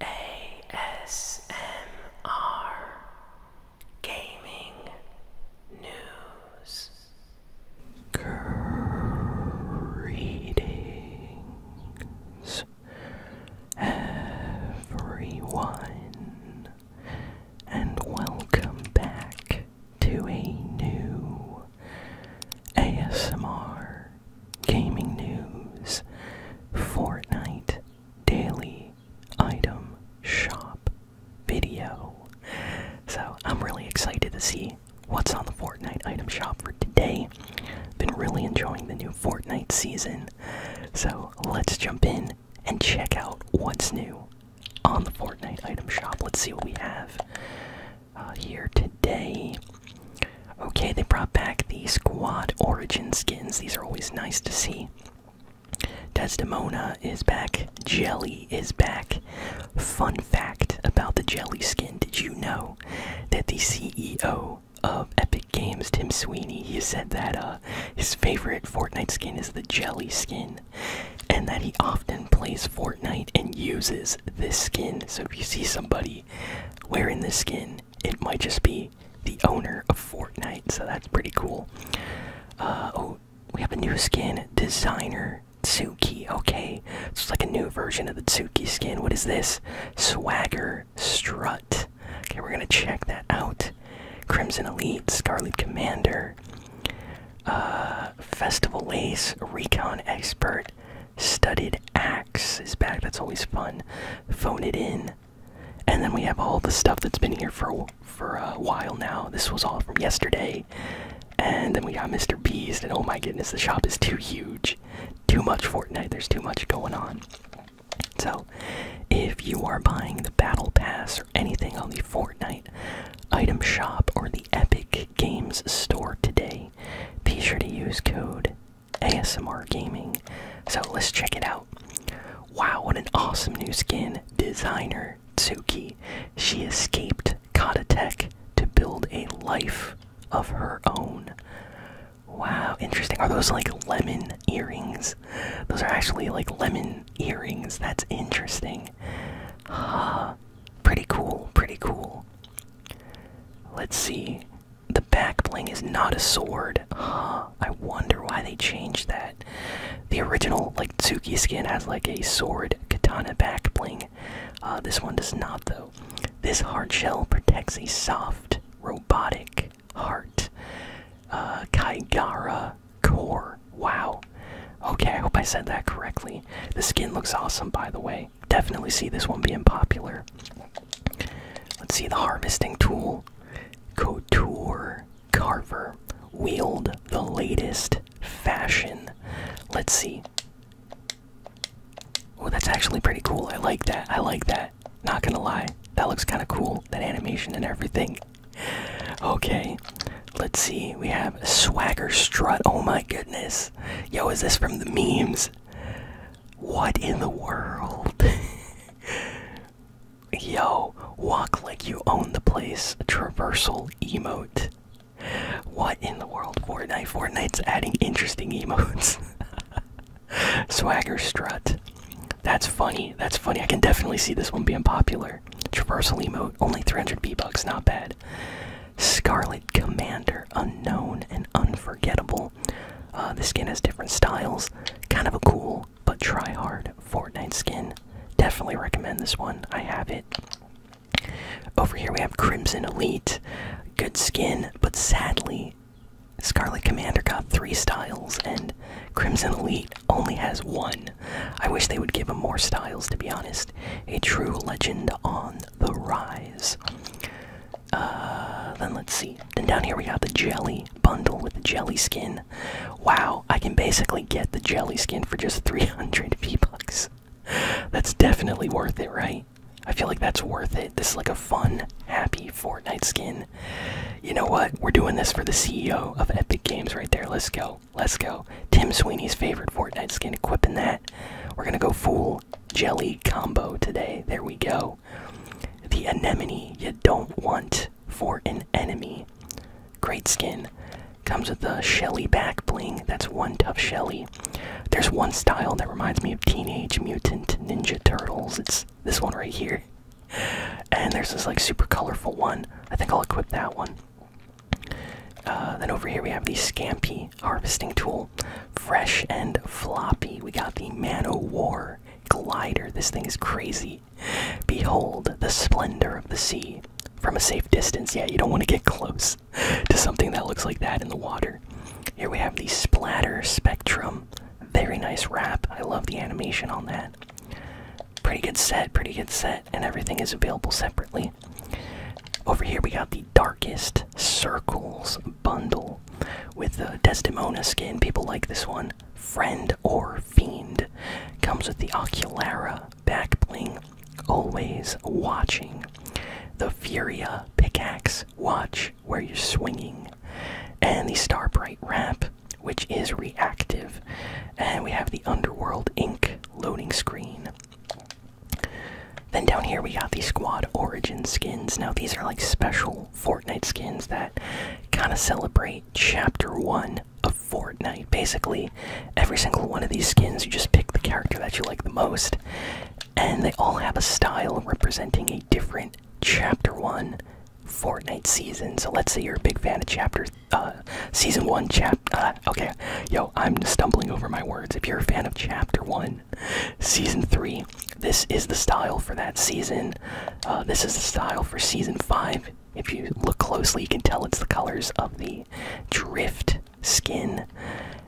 ASMR Gaming News everyone and welcome back to a new ASMR gaming news, Fortnite daily item shop video. So I'm really excited to see what's on the Fortnite item shop for today. Been really enjoying the new Fortnite season. So let's jump in and check out what's new on the Fortnite item shop. Let's see what we have. Uh, here today. Okay, they brought back the squad origin skins. These are always nice to see. Desdemona is back. Jelly is back. Fun fact about the Jelly skin did you know that the CEO of Epic Games, Tim Sweeney, he said that uh, his favorite Fortnite skin is the Jelly skin and that he often plays Fortnite and uses this skin. So if you see somebody wearing this skin. It might just be the owner of Fortnite, so that's pretty cool. Uh, oh, we have a new skin, Designer Tsuki. Okay, it's like a new version of the Tsuki skin. What is this? Swagger Strut. Okay, we're gonna check that out. Crimson Elite, Scarlet Commander, uh, Festival Lace, Recon Expert, Studded axe is back. That's always fun. Phone it in. And then we have all the stuff that's been here for for a while now. This was all from yesterday. And then we got Mr. Beast. And oh my goodness, the shop is too huge. Too much Fortnite. There's too much going on. So, if you are buying the Battle Pass or anything on the Fortnite item shop or the Epic Games Store today. Be sure to use code ASMR Gaming. So let's check it out. Wow, what an awesome new skin. Designer Tsuki. She escaped Kata Tech to build a life of her own. Wow, interesting. Are those like lemon earrings? Those are actually like lemon earrings. That's interesting. Uh, pretty cool, pretty cool. Let's see. The back bling is not a sword. I wonder why they changed that. The original, like, Tsuki skin has, like, a sword katana back bling. Uh, this one does not, though. This hard shell protects a soft, robotic heart. Uh, core. Wow. Okay, I hope I said that correctly. The skin looks awesome, by the way definitely see this one being popular. Let's see the harvesting tool. Couture Carver. Wield the latest fashion. Let's see. Oh, that's actually pretty cool. I like that. I like that. Not gonna lie. That looks kind of cool. That animation and everything. Okay. Let's see. We have Swagger Strut. Oh my goodness. Yo, is this from the memes? What in the world? Yo, walk like you own the place. Traversal emote. What in the world, Fortnite? Fortnite's adding interesting emotes. Swagger strut. That's funny. That's funny. I can definitely see this one being popular. Traversal emote. Only 300 B bucks. Not bad. Scarlet Commander, unknown and unforgettable. Uh, the skin has different styles. Kind of a cool but try hard Fortnite skin. Definitely recommend this one. I have it. Over here we have Crimson Elite. Good skin, but sadly, Scarlet Commander got three styles and Crimson Elite only has one. I wish they would give him more styles, to be honest a true legend on the rise. Uh, then let's see. Then down here we have the jelly bundle with the jelly skin. Wow, I can basically get the jelly skin for just 300 V bucks. That's definitely worth it, right? I feel like that's worth it. This is like a fun, happy Fortnite skin. You know what? We're doing this for the CEO of Epic Games right there. Let's go. Let's go. Tim Sweeney's favorite Fortnite skin, equipping that. We're gonna go full jelly combo today. There we go. The anemone you don't want for an enemy. Great skin. Comes with the Shelly back bling. That's one tough Shelly. There's one style that reminds me of Teenage Mutant Ninja Turtles. It's this one right here. And there's this like super colorful one. I think I'll equip that one. Uh, then over here we have the Scampy harvesting tool, fresh and floppy. We got the Man O' War glider. This thing is crazy. Behold the splendor of the sea from a safe distance. Yeah, you don't want to get close to something that looks like that in the water. Here we have the Splatter Spectrum. Very nice wrap. I love the animation on that. Pretty good set, pretty good set, and everything is available separately. Over here we got the Darkest Circles bundle with the Desdemona skin. People like this one. Friend or Fiend. Comes with the Oculara back bling. Always watching. The Furia pickaxe. Watch where you're swinging. And the Starbright wrap, which is reactive. And we have the Underworld Inc. loading screen. Then down here we got the Squad Origin skins. Now these are like special Fortnite skins that kind of celebrate Chapter 1 of Fortnite. Basically, every single one of these skins, you just pick the character that you like the most, and they all have a style representing a different Chapter 1 Fortnite season. So let's say you're a big fan of Chapter uh, season one chap. Uh, okay, yo, I'm stumbling over my words. If you're a fan of chapter one, season three, this is the style for that season. Uh, this is the style for season five. If you look closely, you can tell it's the colors of the drift skin.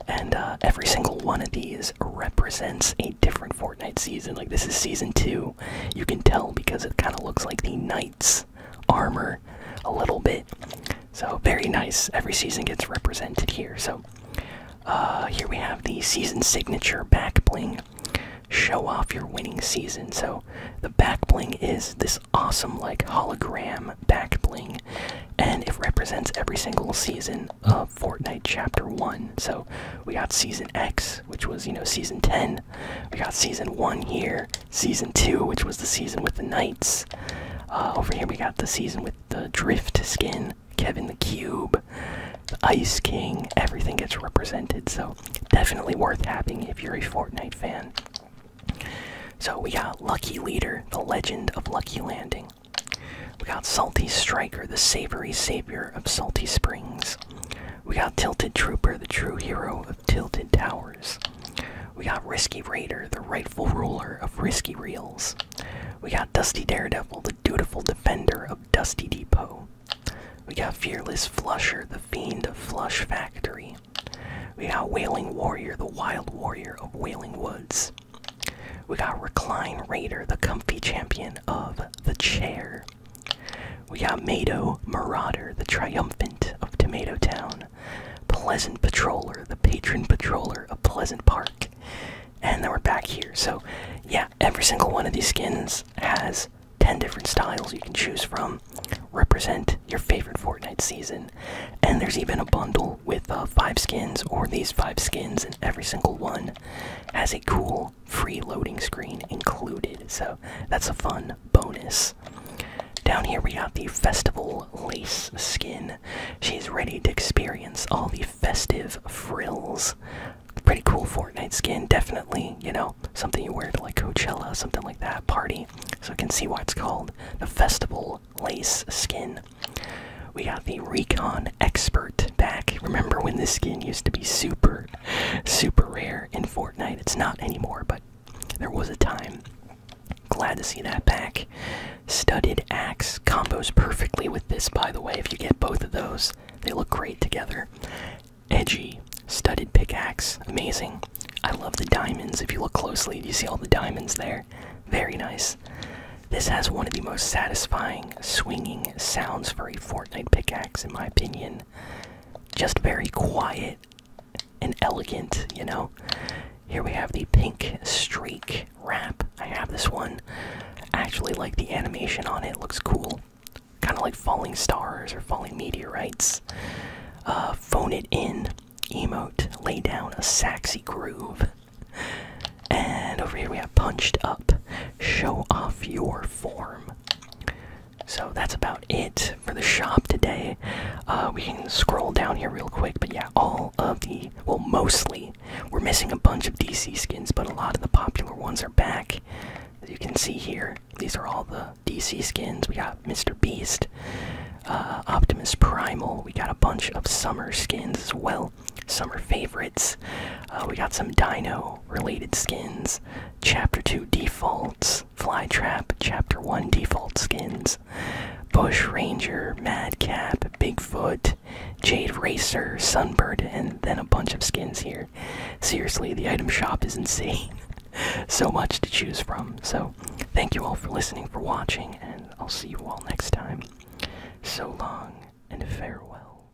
And every single one of these represents a different Fortnite season. Like, this is season two. You can tell because it kind of looks like the Knights armor a little bit. So, very nice. Every season gets represented here. So, uh, here we have the season signature back bling. Show off your winning season. So, the back bling is this awesome, like, hologram back bling, and it represents every single season of Fortnite Chapter 1. So, we got Season X, which was, you know, Season 10. We got Season 1 here, season two, which was the season with the Knights. Uh, over here, we got the season with the Drift skin, Kevin the Cube, the Ice King. Everything gets represented, so definitely worth having if you're a Fortnite fan. So we got Lucky Leader, the Legend of Lucky Landing. We got Salty Striker, the Savory Savior of Salty Springs. We got Tilted Trooper, the true hero of Tilted Towers. We got Risky Raider, the rightful ruler of Risky Reels. We got Dusty Daredevil, the dutiful defender of Dusty Depot. We got Fearless Flusher, the fiend of Flush Factory. We got Wailing Warrior, the wild warrior of Wailing Woods. We got Recline Raider, the comfy champion of the chair. We got Mado Marauder, the triumphant of Tomato Town, Pleasant Patroller, the patron patroller of Pleasant Park, and then we're back here. So, yeah, every single one of these skins has 10 different styles you can choose from, represent your favorite Fortnite season, and there's even a bundle with uh, five skins or these five skins, and every single one has a cool free loading screen included. So that's a fun bonus. Down here we have the Festival Lace skin. She's ready to experience all the festive frills. Pretty cool Fortnite skin, definitely, you know, something you wear to like Coachella, something like that, party. So I can see why it's called the Festival Lace skin. We got the Recon Expert back. Remember when this skin used to be super Super rare in Fortnite. It's not anymore, but there was a time. Glad to see that back. Studded axe combos perfectly with this, by the way. If you get both of those, they look great together. Edgy, studded pickaxe, amazing. I love the diamonds. If you look closely, do you see all the diamonds there? Very nice. This has one of the most satisfying swinging sounds for a Fortnite pickaxe, in my opinion just very quiet and elegant, you know. Here we have the pink streak wrap. I have this one. actually like the animation on it, looks cool. Kind of like falling stars or falling meteorites. Uh, phone it in, emote, lay down a sexy groove. And over here we have punched up, show off your form. So that's about it for the shop today. Uh, we can scroll down here real quick, but yeah, all of the, well, mostly, we're missing a bunch of DC skins, but a lot of the popular ones are back. As you can see here, these are all the DC skins. We got Mr. Beast, uh, Optimus Primal, we got a bunch of summer skins as well, summer favorites. Uh, we got some Dino related skins, Chapter 2 defaults, Flytrap, Chapter 1 default skins, Bush Ranger, Madcap, Bigfoot, Jade Racer, Sunbird, and then a bunch of skins here. Seriously, the item shop is insane. so much to choose from. So, thank you all for listening, for watching, and I'll see you all next time. So long and farewell.